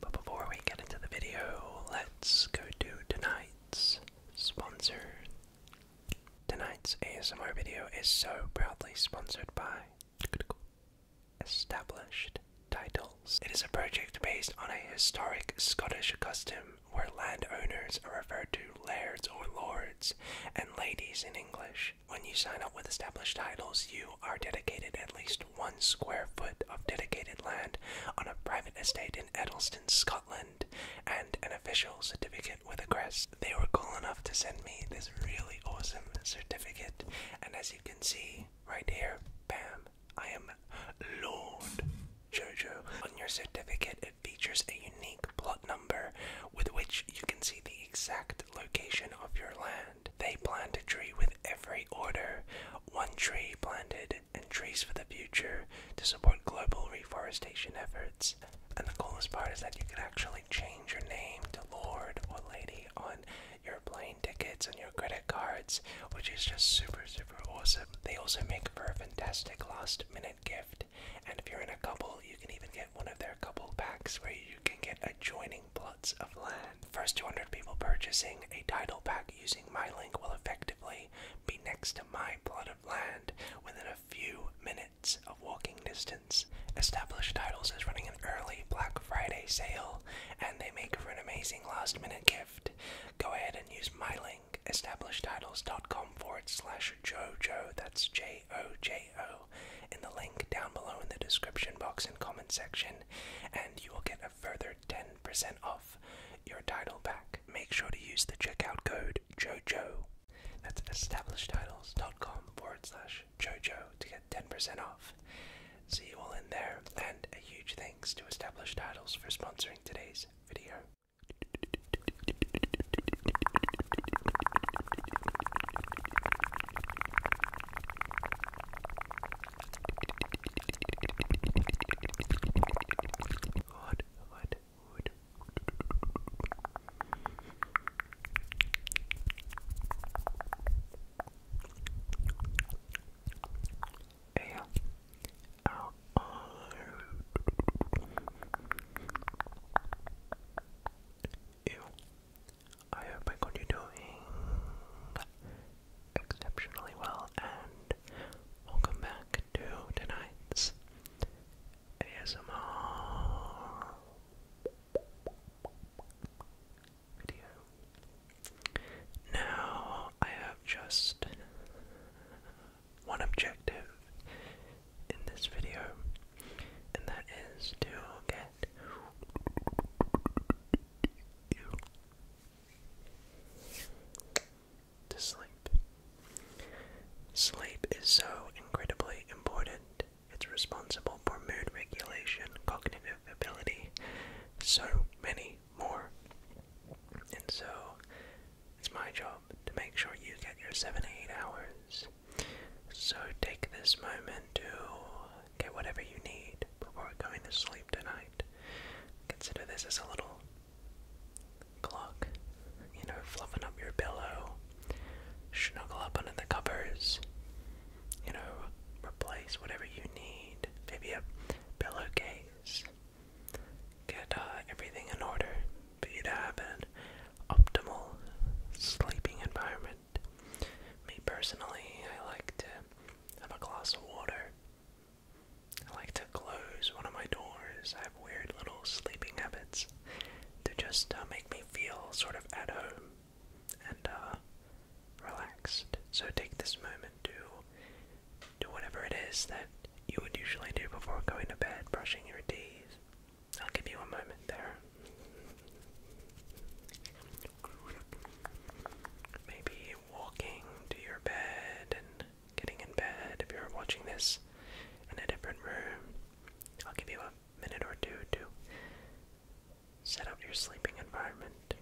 But before we get into the video, let's go to tonight's sponsor. Tonight's ASMR video is so proudly sponsored by Established Titles. It is a project based on a historic Scottish custom where landowners are referred to lairds or lords and ladies in English, when you sign up with established titles, you are dedicated at least one square foot of dedicated land on a private estate in Edelston, Scotland, and an official certificate with a crest. They were cool enough to send me this really awesome certificate, and as you can see right here, bam, I am Lord Jojo. On your certificate, it features a unique plot with which you can see the exact location of your land. They plant a tree with every order, one tree planted and trees for the future to support global reforestation efforts. And the coolest part is that you can actually change your name to Lord or Lady on your plane tickets and your credit cards, which is just super, super awesome. They also make for a fantastic last minute gift. And if you're in a couple, you can even get one of their couple packs where you you can get adjoining plots of land. First 200 people purchasing a title pack using my link will effectively be next to my plot of land within a few minutes of walking distance. Established Titles is running an early Black Friday sale and they make for an amazing last minute gift. Go ahead and use my link, establishtitles.com forward slash Jojo, that's J J-O-J-O in the link down below in the description box and comment section, and you will get a further 10% off your title pack. Make sure to use the checkout code JoJo. That's establishedtitles.com forward slash JoJo to get 10% off. See you all in there, and a huge thanks to Established Titles for sponsoring today's video. What? What? What? A L R U I hope I got you doing exceptionally well, and welcome back to tonight's ASMR video. Now, I have just one objective in this video, and that is to get to sleep. Sleep is so incredibly important. It's responsible for mood regulation, cognitive ability, so many more. And so it's my job to make sure you get your seven eight hours so take this moment to get whatever you need before going to sleep tonight. Consider this as a little clock, you know, fluffing up your pillow, snuggle up under the covers, you know, replace whatever you need, maybe a pillowcase. Get uh, everything in order for you to have an optimal sleeping environment. Me personally, I like to have a glass of water. I like to close one of my doors. I have weird little sleeping habits to just uh, make me feel sort of at home and uh, relaxed. So take this moment to do whatever it is that you would usually do before going to bed, brushing your teeth, I'll give you a moment there. Maybe walking to your bed and getting in bed if you're watching this in a different room. I'll give you a minute or two to set up your sleeping environment.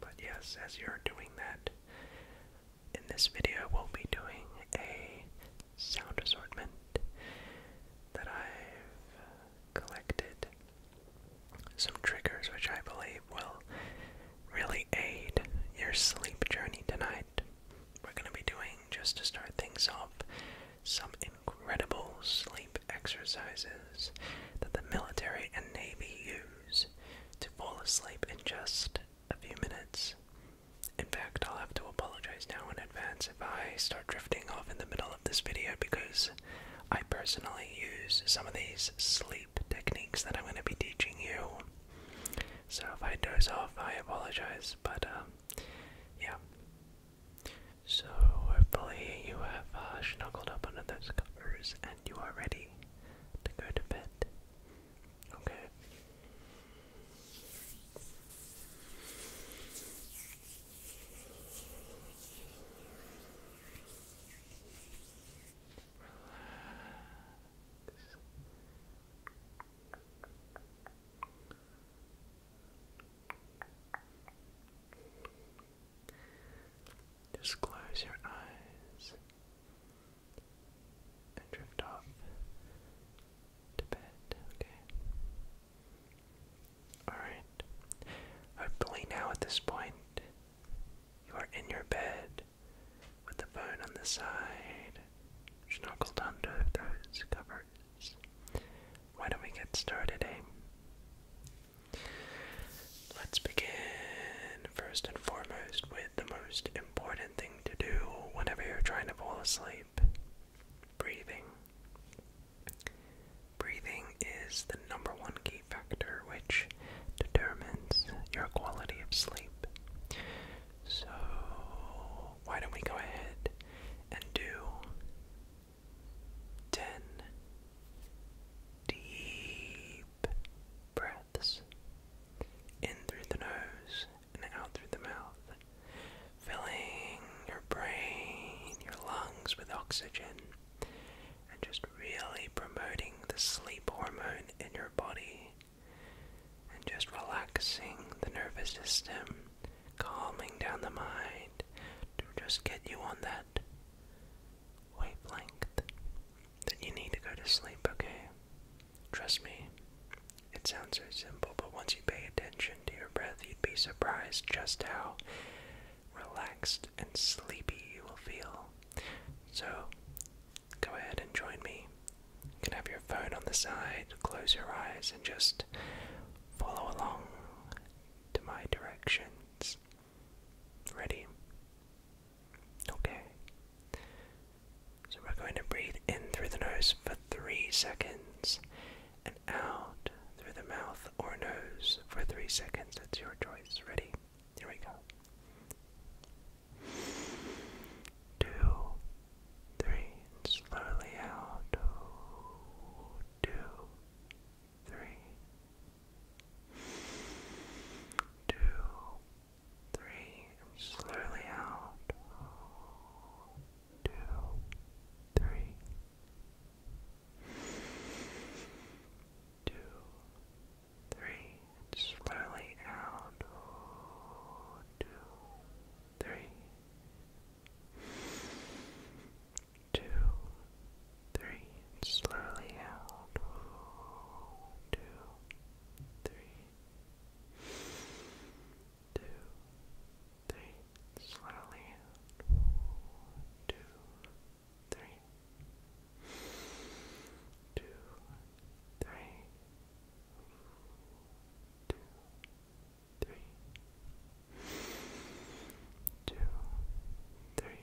But yes, as you're doing that, in this video, we'll be doing a sound assortment that I've collected. Some triggers which I believe will really aid your sleep journey tonight. We're going to be doing, just to start things off, some incredible sleep exercises that the military and navy use to fall asleep and just a few minutes. In fact, I'll have to apologize now in advance if I start drifting off in the middle of this video because I personally use some of these sleep techniques that I'm going to be teaching you. So if I doze off, I apologize, but uh, yeah. So hopefully you have uh, snuggled up under those covers and you are ready to go to bed. Okay. Just close your eyes and drift off to bed, okay? Alright. Hopefully, now at this point, you are in your bed with the phone on the side, snuggled under those covers. Why don't we get started, eh? Let's begin first and foremost with the most important thing to do whenever you're trying to fall asleep breathing. Breathing is the number one key factor which determines your quality of sleep. So, why don't we go ahead and do 10 deep breaths? in through the nose and out through the mouth, filling your brain, your lungs with oxygen, and just really promoting the sleep hormone in your body, and just relaxing the nervous system, calming down the mind to just get you on that wavelength then you need to go to sleep, okay? Trust me, it sounds so simple, but once you pay attention to your breath, you'd be surprised just how relaxed and sleepy you will feel. So, go ahead and join me. You can have your phone on the side, close your eyes, and just follow along to my directions. Ready? Okay. So we're going to breathe in through the nose for three seconds and out through the mouth or nose for three seconds. That's your choice. Ready? Here we go. Two, three, slowly out. Two, three, two, three, slowly out. Two, three. Two, three, slowly out. Two, three. Two, three, slowly out. Two, three, two, three, slowly two, three, two, three, two, three, two, three.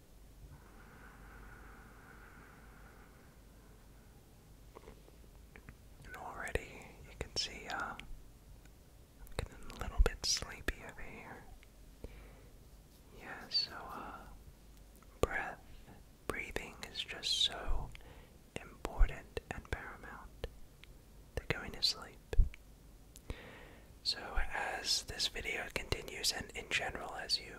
And already you can see uh, I'm getting a little bit sleepy over here. Yeah, so uh, breath, breathing is just so important and paramount to going to sleep. So, as this video continues, and in general, as you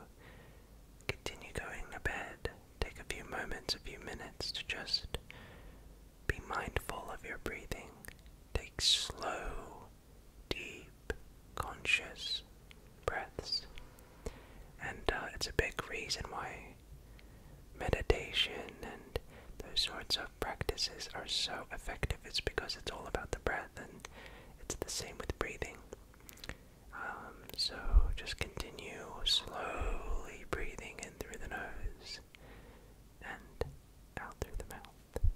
Continue going to bed. Take a few moments, a few minutes to just be mindful of your breathing. Take slow, deep, conscious breaths. And uh, it's a big reason why meditation and those sorts of practices are so effective. It's because it's all about the breath, and it's the same with breathing. Um, so just continue slowly breathing in through the nose and out through the mouth.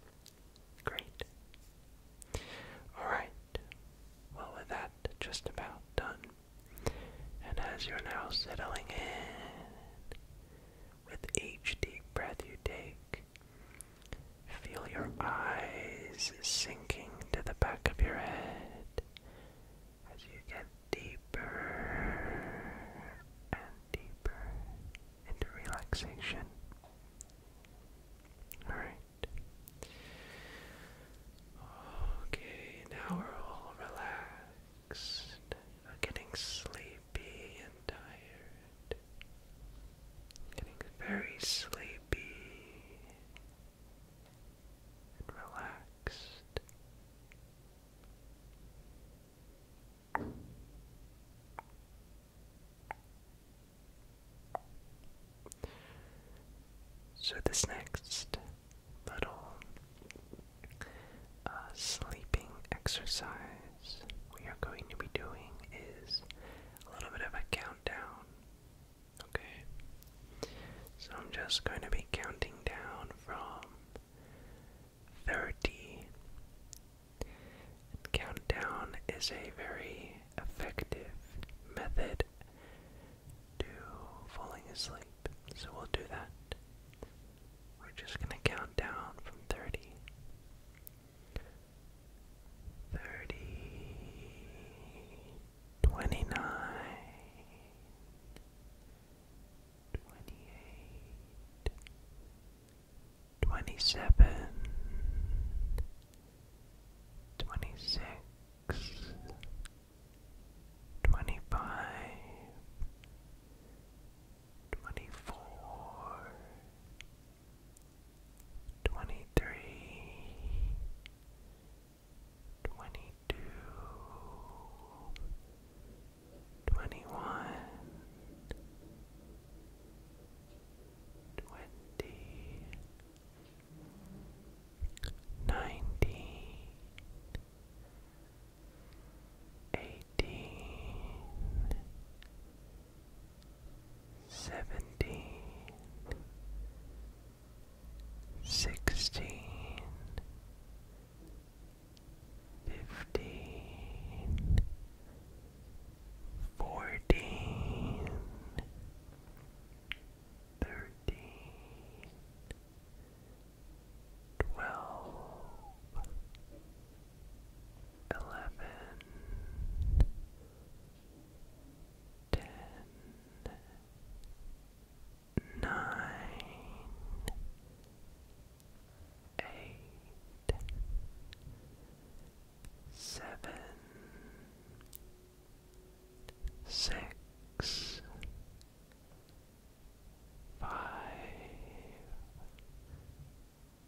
Great. Alright, well, with that, just about done. And as you're now settling in, with each deep breath you take, Feel your eyes sinking to the back of your head as you get deeper and deeper into relaxation. Alright. Okay, now we're all relaxed, not getting sleepy and tired. Getting very sleepy relaxed. So, this next little uh, sleeping exercise we are going to be doing is a little bit of a countdown Okay. So I'm just going to be counting down from 30. countdown is a very effective method to falling asleep. So we'll do that. We're just going to count down from 30 thirty, twenty-nine, twenty-eight, twenty-seven, twenty-six, twenty-five, twenty-four twenty-three, twenty-two, twenty-one, twenty, nineteen, eighteen seventeen, sixteen, fifteen, fourteen, thirteen, twelve, eleven ten, nine, eight, seven, six, five,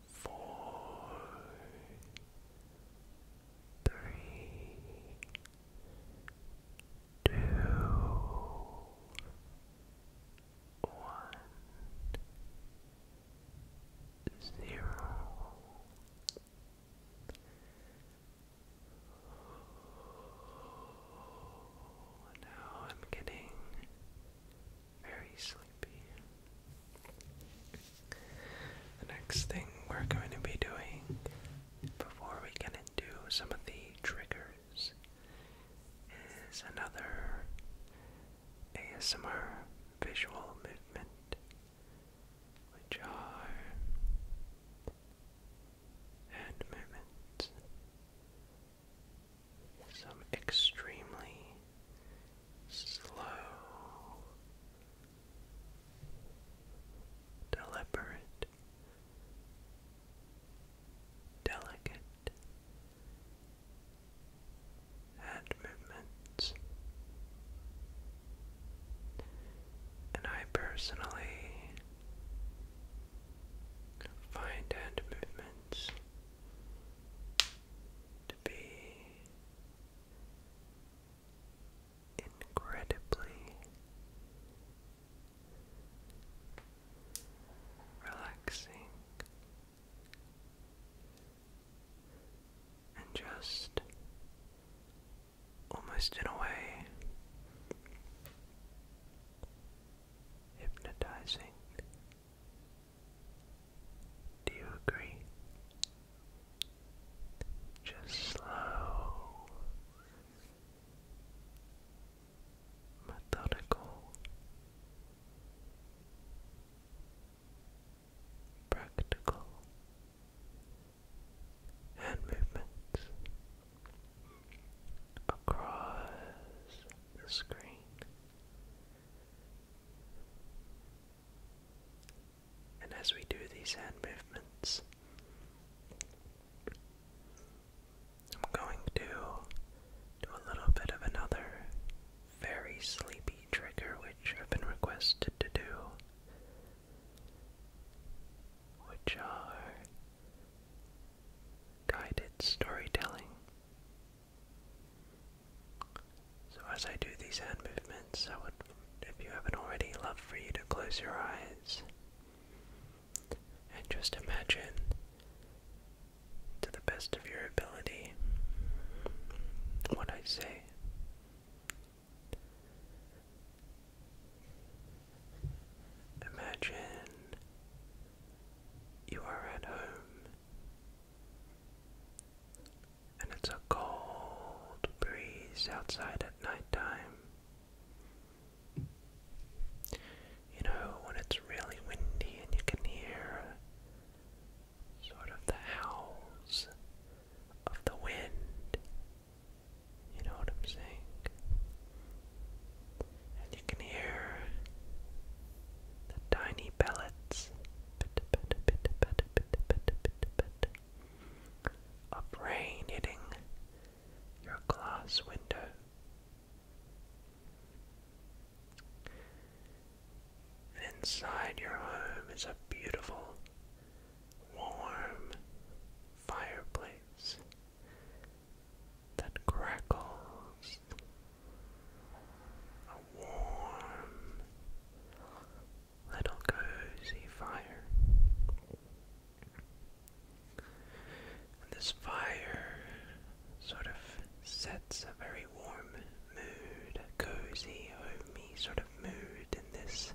four, three, two, one, zero. Now I'm getting very sleepy. The next thing we're going to be doing before we get into some of the triggers is another ASMR visual movement, which are hand movements. Some extremely slow, deliberate, delicate hand movements. And I personally find hand movements to be incredibly relaxing and just almost in a way hypnotizing. Do you agree? Just slow, methodical, practical hand movements across the screen. And as we do these hand movements, I'm going to do a little bit of another very sleepy trigger, which have been requested to do, which are guided storytelling. So, as I do these hand movements, I would, if you haven't already, love for you to close your eyes and just imagine, to the best of your ability, what I say. Imagine you are at home and it's a cold breeze outside at nighttime. You know, when it's really windy and you can hear sort of the howls of the wind. You know what I'm saying? And you can hear the tiny pellets Pitter, pitter, Of rain hitting your glass window. inside your home is a beautiful, warm fireplace that crackles. A warm, little cozy fire. this fire sort of sets a very warm mood, cozy, homey sort of mood in this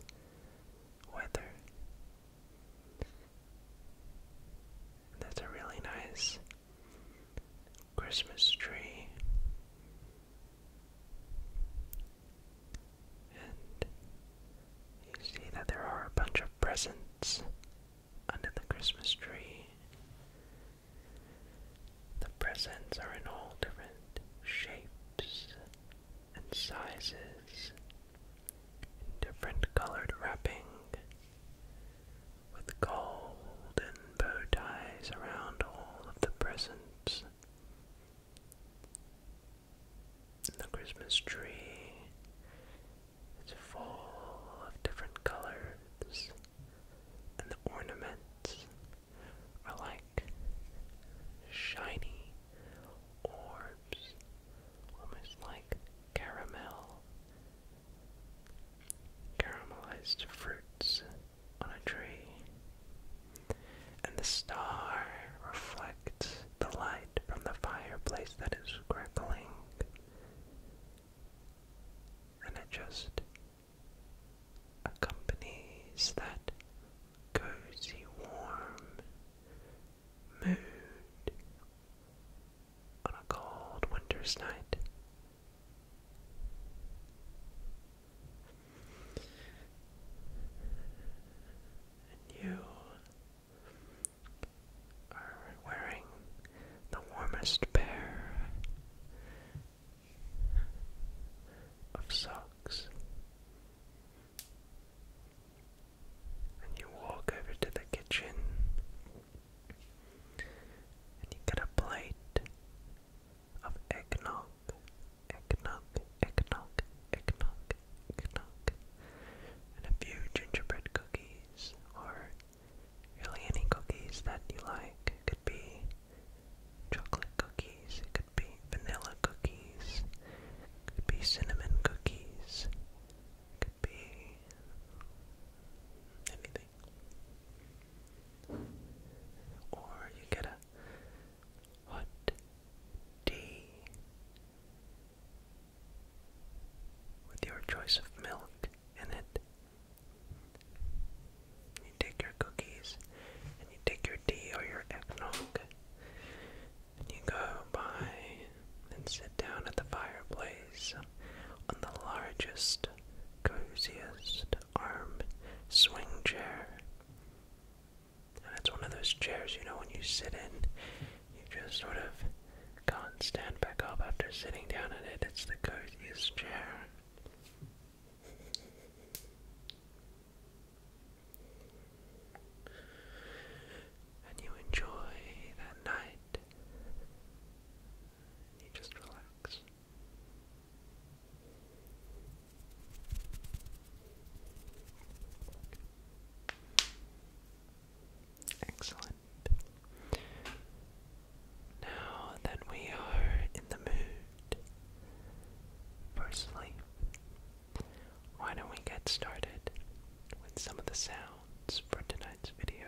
weather. That's a really nice Christmas tree and you see that there are a bunch of presents under the Christmas tree. The presents are in all different shapes and sizes, in different colored wrapping, with gold bow ties around all of the presents. The Christmas tree is full of different colors, and the ornaments are like shiny orbs, almost like caramel, caramelized fruits on a tree, and the star reflects the light from the fireplace that is crackling, and it just accompanies that cozy, warm mood on a cold winter's night. And you are wearing the warmest pair of socks. And you walk over to the kitchen and you get a plate of eggnog eggnog, eggnog, eggnog, eggnog, and a few gingerbread cookies, or really any cookies that you like. could be chocolate cookies, it could be vanilla cookies, it could be cinnamon cookies, it could be anything. Or you get a hot tea with your choice of milk in it. You take your cookies and you take your tea or your eggnog and you go by and sit down at the fireplace on the largest, coziest arm swing chair. And it's one of those chairs, you know, when you sit in, you just sort of can't stand back up after sitting down in it. It's the coziest chair. And you enjoy that night. You just relax. Excellent. Now that we are in the mood for why don't we get started with some of the sounds for tonight's video?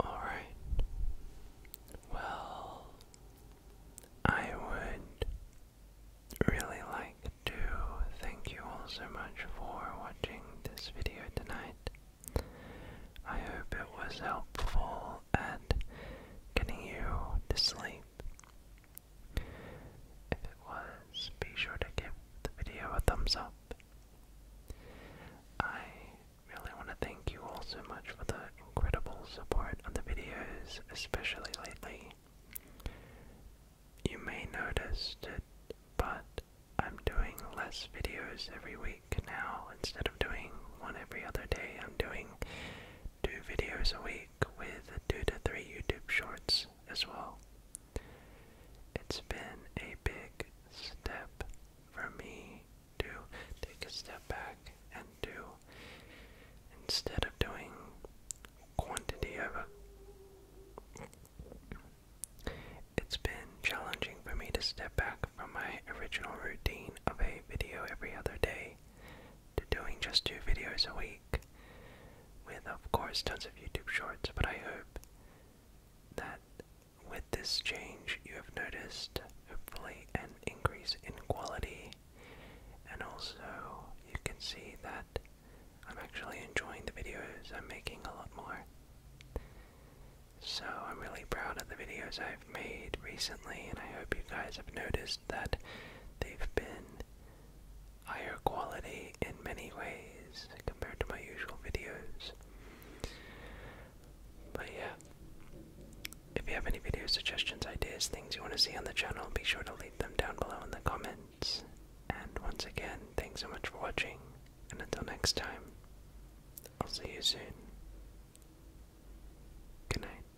All right. Well, I would really like to thank you all so much for watching this video tonight. I hope it was helpful at getting you to sleep. If it was, be sure to give the video a thumbs up. I really want to thank you all so much for the incredible support on the videos, especially lately. You may notice that, but I'm doing less videos every week now. Instead of doing one every other day, I'm doing two videos a week with two to three YouTube shorts as well. It's been a big step for me to take a step back and do, instead of doing quantity of it, it's been challenging for me to step back from my original routine of a video every other day to doing just two videos a week, with of course tons of YouTube shorts, but I hope that with this change you have noticed hopefully an increase in quality and also you can see that I'm actually enjoying the videos I'm making a lot more. So I'm really proud of the videos I've made recently and I hope you guys have noticed that They've been higher quality in many ways compared to my usual videos. But yeah, if you have any video suggestions, ideas, things you want to see on the channel, be sure to leave them down below in the comments. And once again, thanks so much for watching, and until next time, I'll see you soon. Good